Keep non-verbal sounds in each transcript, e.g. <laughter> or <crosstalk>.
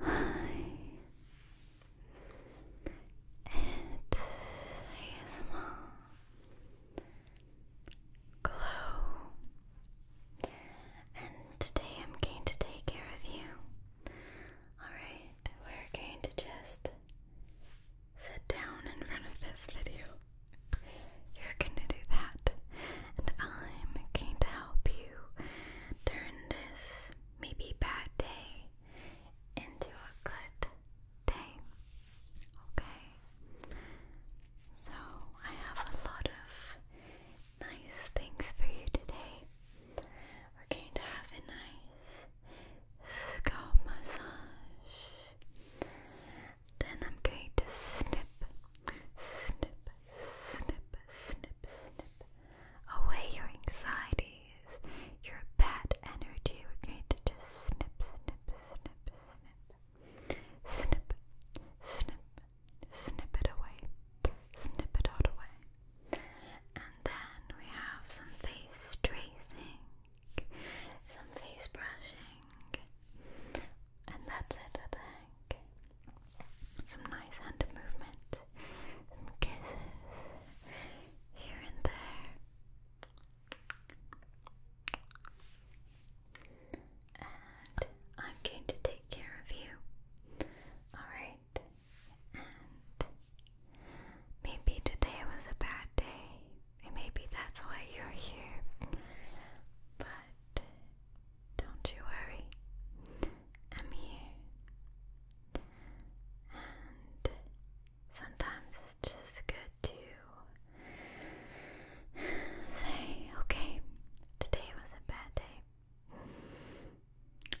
Hi, it is Mom Glow, and today I'm going to take care of you. Alright, we're going to just sit down in front of this video. You're gonna do that, and I'm going to help you turn this maybe bad day into a good day. Okay? So, I have a lot of nice things for you today. We're going to have a nice scalp massage. Then I'm going to snip, snip, snip, snip, snip away your anxieties, your bad energy. We're going to just snip, snip, snip, snip, snip, snip, snip it away, snip it all away. And then we have some face tracing, some face brushing. And that's it, I think. Some nice hand movement, some kisses here and there. And I'm going to take care of you. Alright? maybe today was a bad day, and maybe that's why you're here. But don't you worry, I'm here. And sometimes it's just good to say, okay, today was a bad day.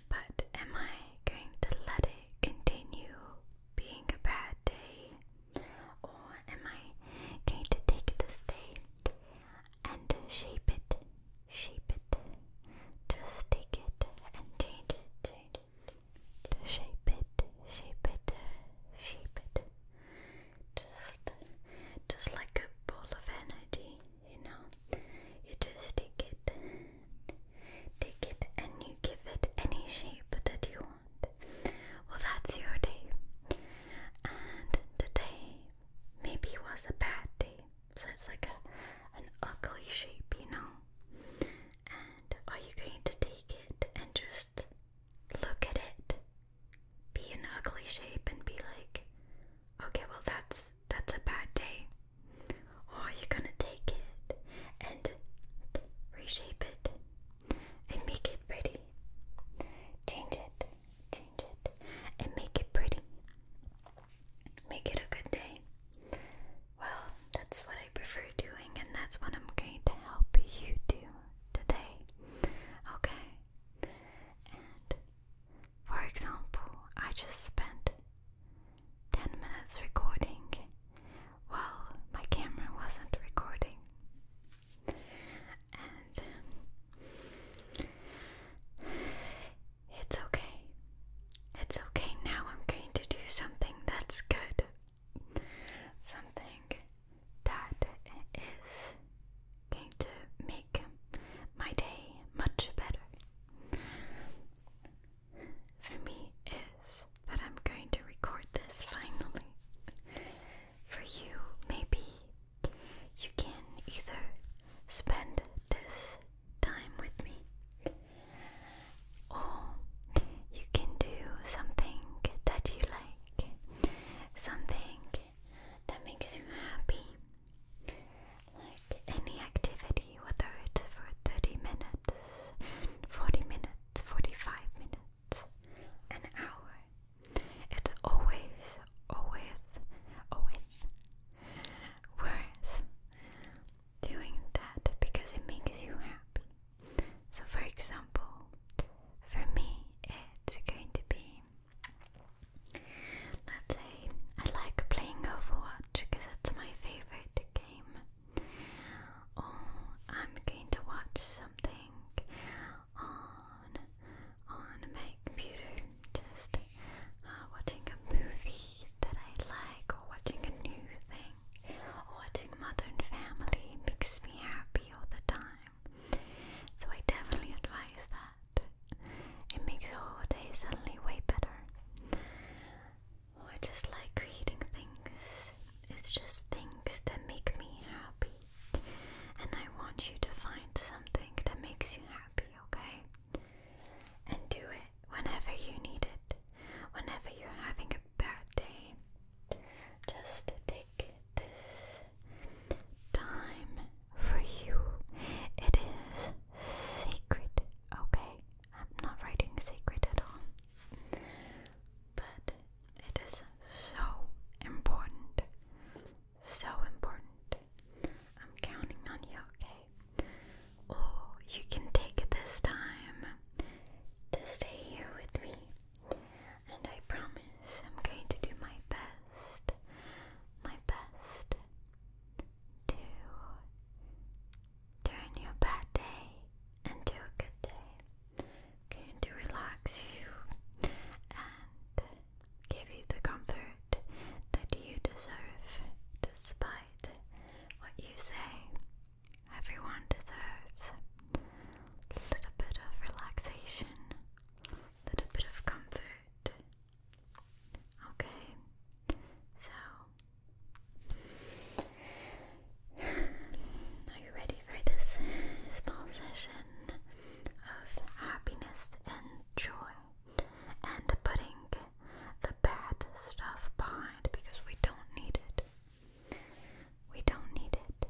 But am I going to let it continue being a bad day? Or am I going to take this day and shape it, shape it. Just take it and change it, change it. Shape it, shape it, shape it. Just, just like a ball of energy, you know. You just take it, take it, and you give it any shape that you want. Well, that's your day, and today Maybe it was a bad day. So it's like a, an ugly shape, you know? And are you going to take it and just look at it? Be an ugly shape and be like, okay, well that's that's a bad day. Or are you gonna take it and reshape it and make it pretty? Change it change it, and make it pretty. Make it a good day. Well, that's what I prefer doing, and that's what I'm going to help you do today. Okay? And for example, I just spent 10 minutes recording while my camera wasn't recording it's okay. It's okay. Now I'm going to do something that's good. Something that is going to make my day much better. For me, is that I'm going to record this finally. For you, maybe you can either spend this time with me or you can do something that you like, something that makes you happy. Like any activity, whether it's for 30 minutes, 40 minutes, 45 minutes an hour. It's always, always, always worth doing that because it makes you happy. So, for example, for me, it's going to be let's say I like playing Overwatch because it's my favorite game. Or oh, I'm going to watch something on on my computer, just uh, watching a movie that I like, or watching a new thing, watching Modern Family makes me happy all the time. So I definitely advise that. It makes your whole suddenly way better. Or just like creating things. It's just things that make me happy. And I want you to find something that makes you happy, okay? And do it whenever you need it, whenever you're having a bad day. Just take this time for you. It is sacred, okay? I'm not writing sacred at all. But it is so important. So important. I'm counting on you, okay? Oh, you can take this time to stay here with me. And I promise I'm going to do my best, my best to turn your bad day into a good day to relax you and give you the comfort that you deserve despite what you say. Everyone deserves a little bit of relaxation, a little bit of comfort. Okay, so. Are you ready for small session of happiness and joy and putting the bad stuff behind because we don't need it. We don't need it.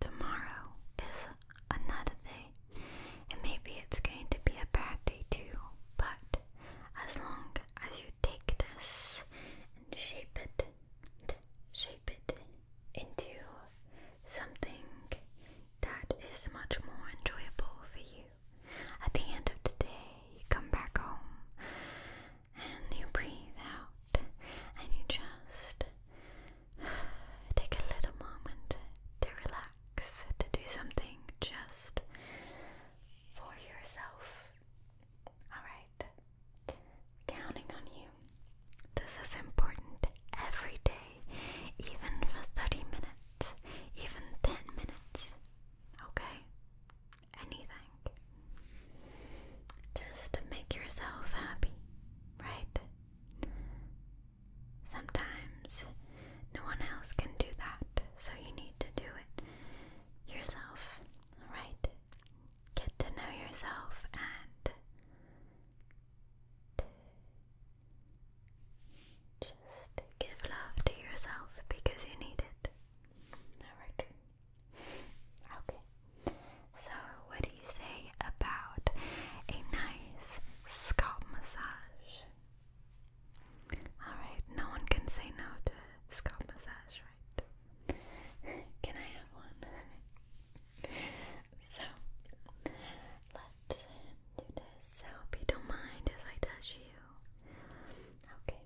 Tomorrow is another day, and maybe it's going to be a bad day too, but as long as you take this and shape it, shape it, into something that is much more enjoyable for you. At the end of the day, you come back home and you breathe out and you just take a little moment to relax, to do something just for yourself. Alright. Counting on you. This is important every day, even for 30 minutes, even 10 minutes. Okay? Anything. Just make yourself happy, right? Sometimes no one else can do that, so you need to do it yourself, alright? get to know yourself and just give love to yourself because you need it. Alright. Okay. So, what do you say about a nice scalp massage? Alright, no one can say no to scalp massage, right. Can I have one? <laughs> so, let do this. I hope you don't mind if I touch you. Okay,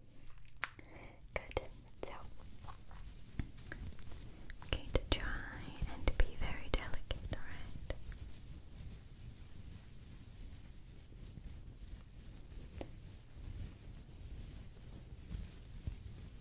good. So, i to try and be very delicate, alright?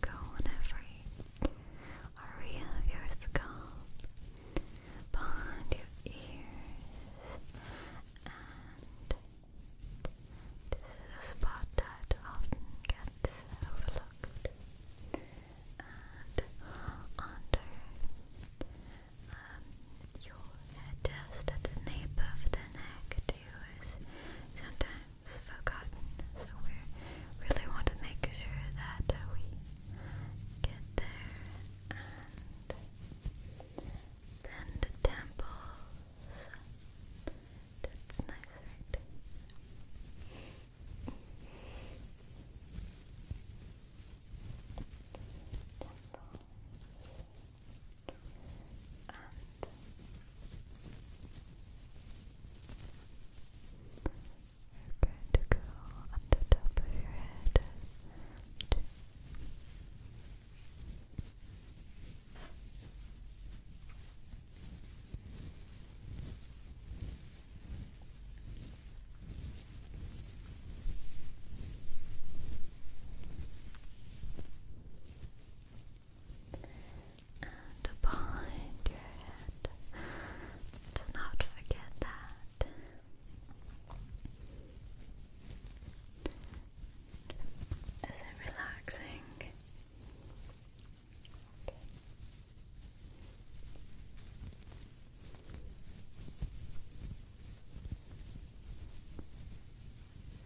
Gonna go on every area of your scalp, behind your ears, and this is a spot that often gets overlooked, and under um, your head, just at the nape of the neck, do is sometimes forgotten. So we really want to make sure that we get there and then the temples. That's nice, right? we're going to go on the top of your head and behind your head. Do not forget that. Is it relaxing? Okay.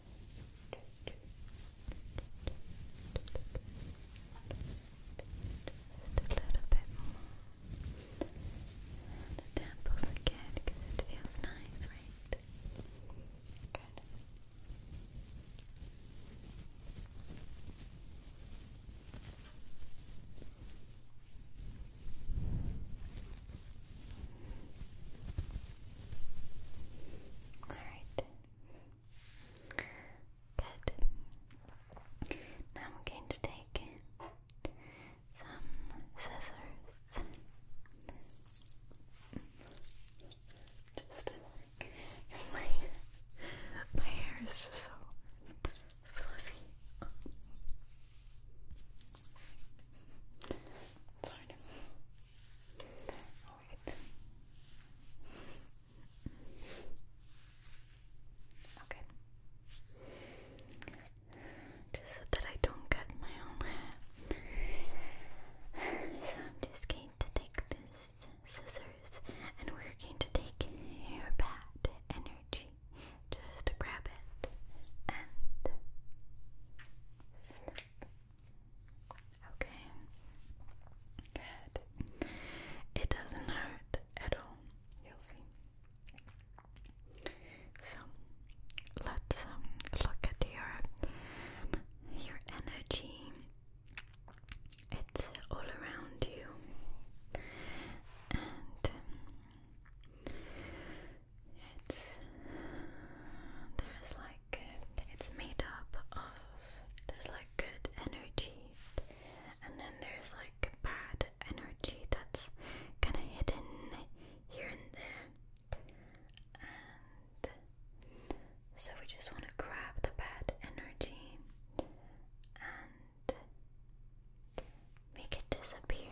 Just a little bit more. And the temples again it feels nice, right? All right. Good. Now I'm going to take some scissors. Just my my hair is just so fluffy. Sorry. Alright. Okay. so that I don't cut my own hair. So I'm just going to take this scissors and we're going to take your bad energy. Just grab it and snip. Okay. Good. It doesn't hurt at all. You'll see. So let's um, look at your your energy. It's all around you, and um, it's there's like it's made up of there's like good energy and then there's like bad energy that's kind of hidden here and there so we just want to grab the bad energy and make it disappear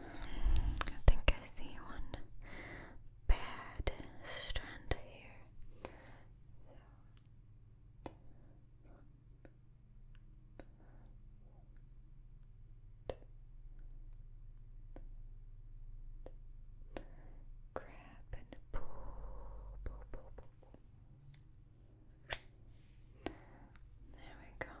I think I see one bad strand here. Grab and pull. There we go.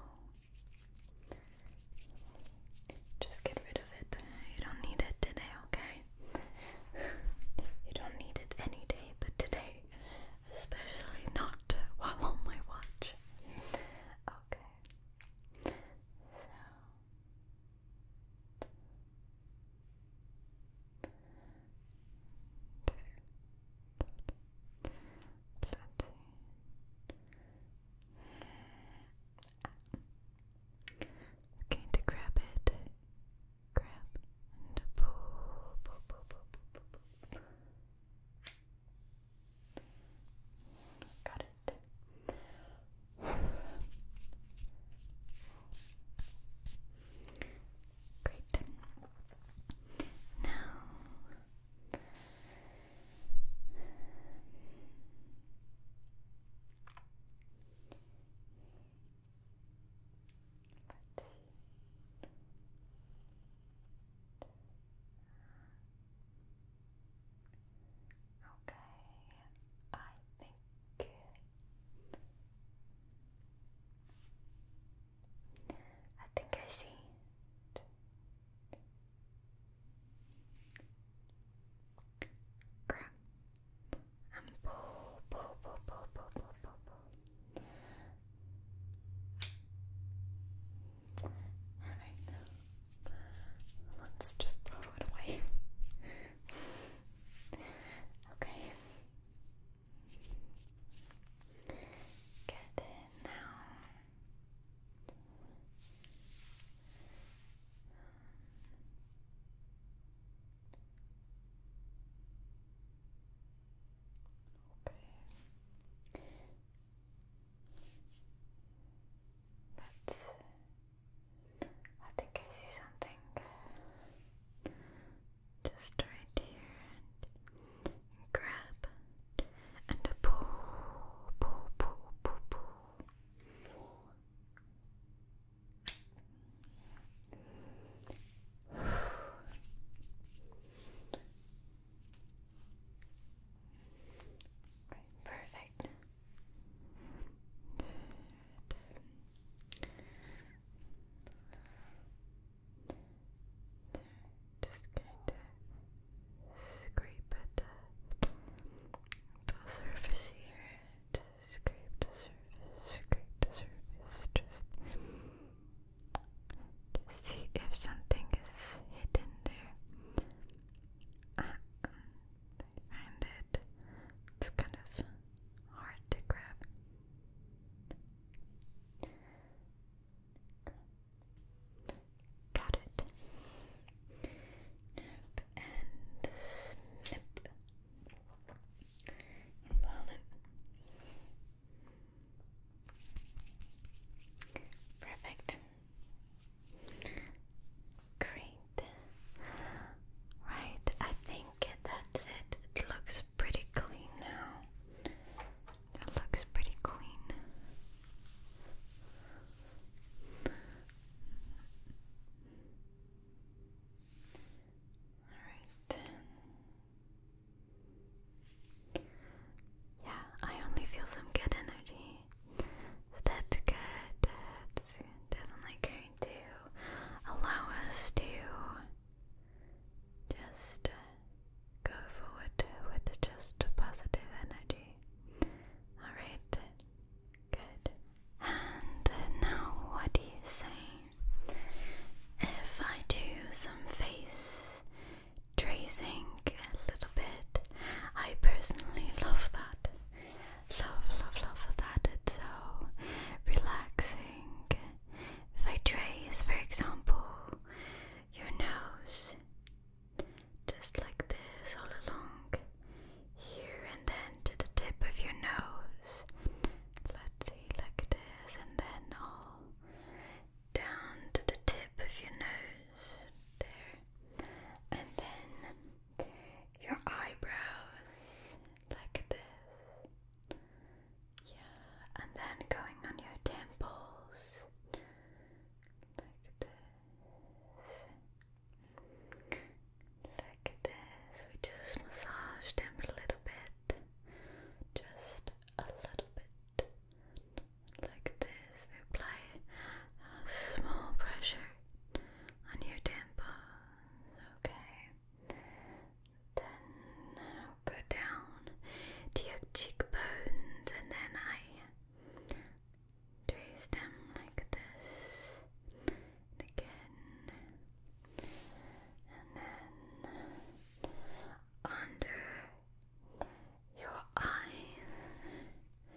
Just get rid of it. You don't need it today, okay? you don't need it any day but today. Especially not while on my watch. Okay. So. Okay, to grab it, grab and pull. Got it. Great. Now Okay, I think I think I see it. Grab and pull, pull, pull, pull, pull, pull, pull, pull. Alright, let's just throw it away. <laughs> okay, Get it now. Okay. But I think I see something just right here and grab and a pull, pull, pull, pull, pull. Right, perfect. Good just kind of scrape the, surface here. scrape the surface, scrape the surface. Just to see if something is hidden there. Ah, I find it. It's kind of hard to grab. Got it. Nip and snip. Involvement. Perfect. Great. Right, I think that's it. It looks pretty clean now. That looks pretty clean. Alright. Yeah, I only feel some good energy. that's good. That's definitely going to allow us to just uh, go forward with just positive energy. Alright, good. And now, what do you say if I do some face tracing a little bit? I personally love that. Love, love, love that. It's so relaxing if I trace, for example, your nose, just like this all along here and then to the tip of your nose, let's see, like this, and then all down to the tip of your nose, there, and then your eyebrows, like this. Yeah, and then going on your temples like this. Like this. We just massage them a little bit. Just a little bit. Like this. We apply a small pressure on your temples. Okay. Then uh, go down to your cheekbones and then I trace them like this. And again. And then under your eyes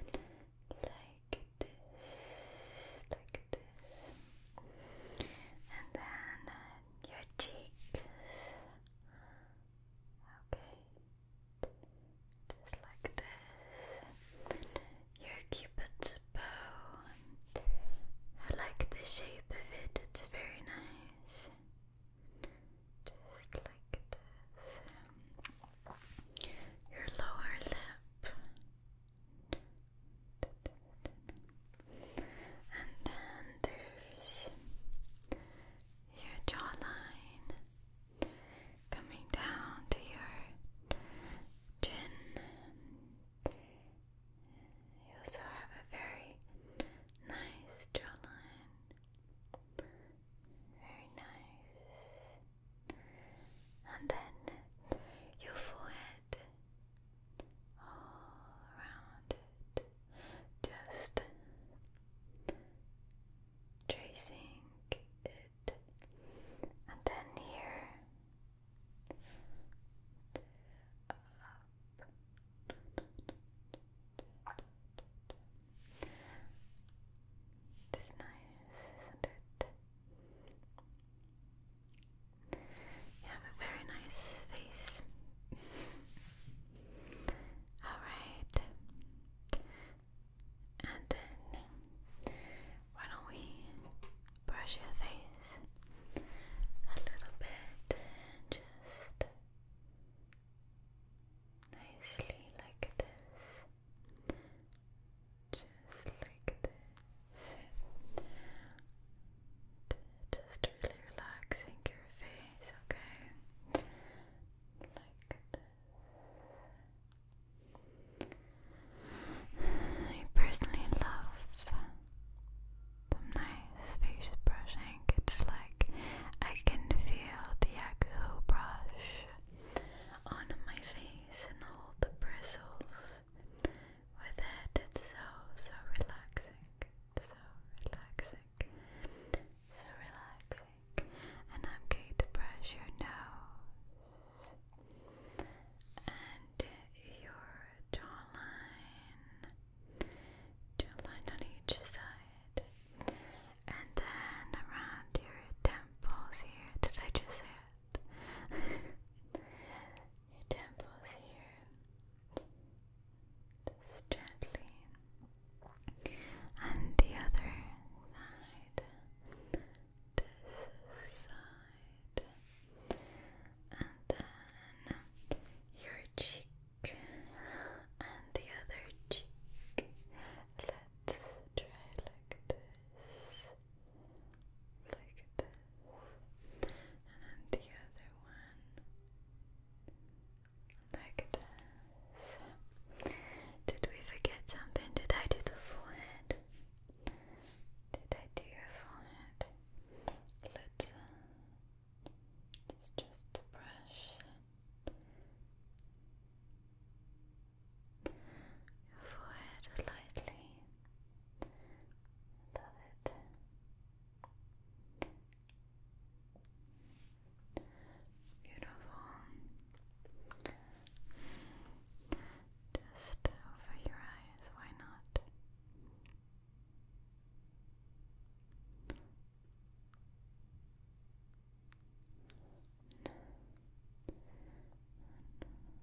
like this, like this. And then uh, your cheek, Okay, just like this. Your cupid's bow. I like the shape of it, it's very nice. Just like this. Your lower lip. And then there's your jawline coming down to your chin. You also have a very nice jawline. Very nice. And then your forehead all around it, just tracing it, and then here up. It's nice, isn't it? You have a very nice face. Alright. And then, why don't we brush your face a little bit and just nicely like this. Just like this just really relaxing your face, okay? I personally love the nice face brushing. It's like I can feel the Yaku brush on my face and all the bristles with it. It's so, so relaxing. So relaxing. So relaxing. And I'm going to brush your nose and your jawline. Jawline on each side. And then around your temples here. Did I just say it? <laughs> your temples here. Just gently. And the other side. And then your cheek and the other cheek. Let's try like this. Look at that. And the other one. Like this. Did we forget something? Did I do the forehead? Did I do your forehead? Let's just brush. Your forehead lightly. Love it. Beautiful. Just over your eyes, why not?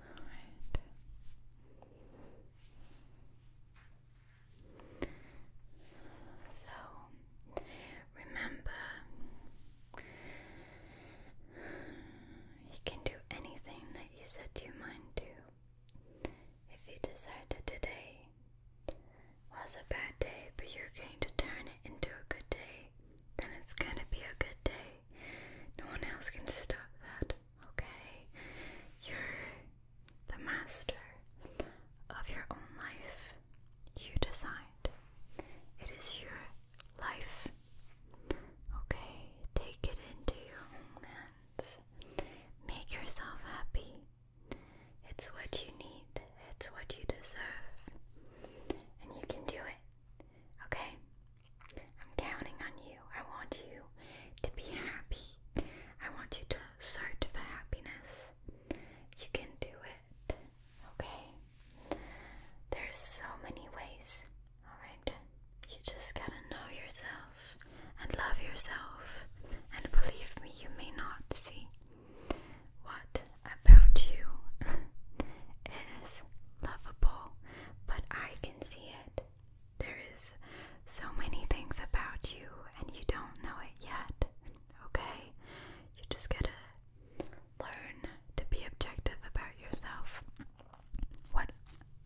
All right. So remember you can do anything that you set your mind to. If you decide that today was a bad day, but you're going to turn it into a good day, then it's going to be a good day. No one else can stop that, okay? You're the master of your own life. You decide. It is your life. Okay, take it into your hands. Make yourself happy. It's what you need, it's what you deserve. And you can do it. Okay? I'm counting on you. I want you to be happy. I want you to search for happiness. You can do it. Okay? There's so many ways, alright? You just gotta know yourself and love yourself. And believe me, you may not see what about you <laughs> is lovable, but I can see it. There is so many things about you, and you don't know it yet, okay? You just gotta Learn to be objective about yourself. What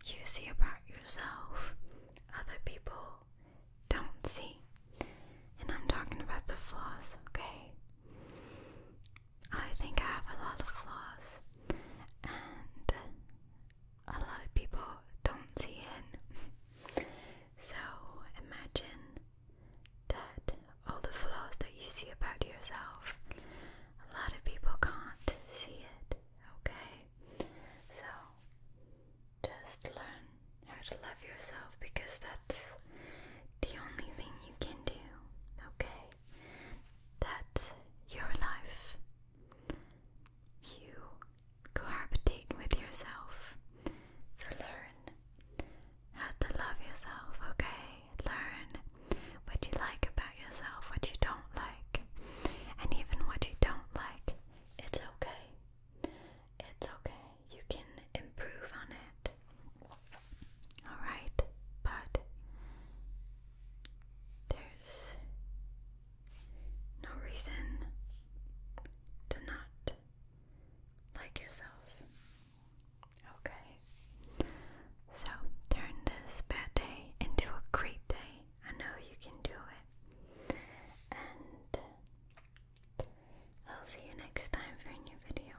you see about yourself, other people don't see. And I'm talking about the flaws, okay? I think I have a lot of flaws, and a lot of people don't see it. <laughs> so imagine that all the flaws that you see about yourself. A lot of people can't see it, okay? So just learn how to love yourself because that's the only thing you can do, okay? That's your life. You cohabitate with yourself. So learn how to love yourself, okay? learn what you like about yourself, what you don't like, and even what you don't like. It's okay. It's okay. You can improve on it. Alright? But there's no reason to not like yourself. Okay. So turn this bad day into a great day. I know you can do it. And I'll see you next time for a new video.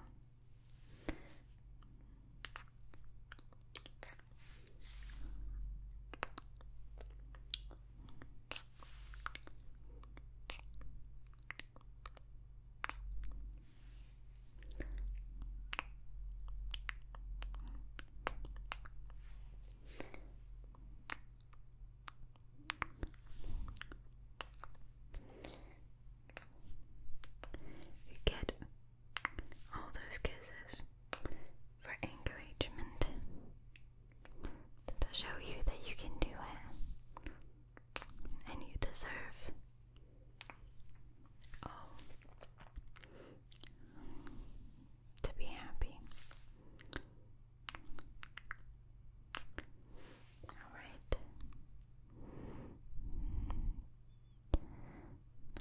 You get all those kisses for encouragement to show you that you can do it and you deserve um, to be happy. All right.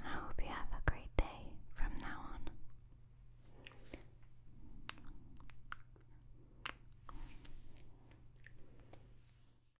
I hope you have a great day from now on.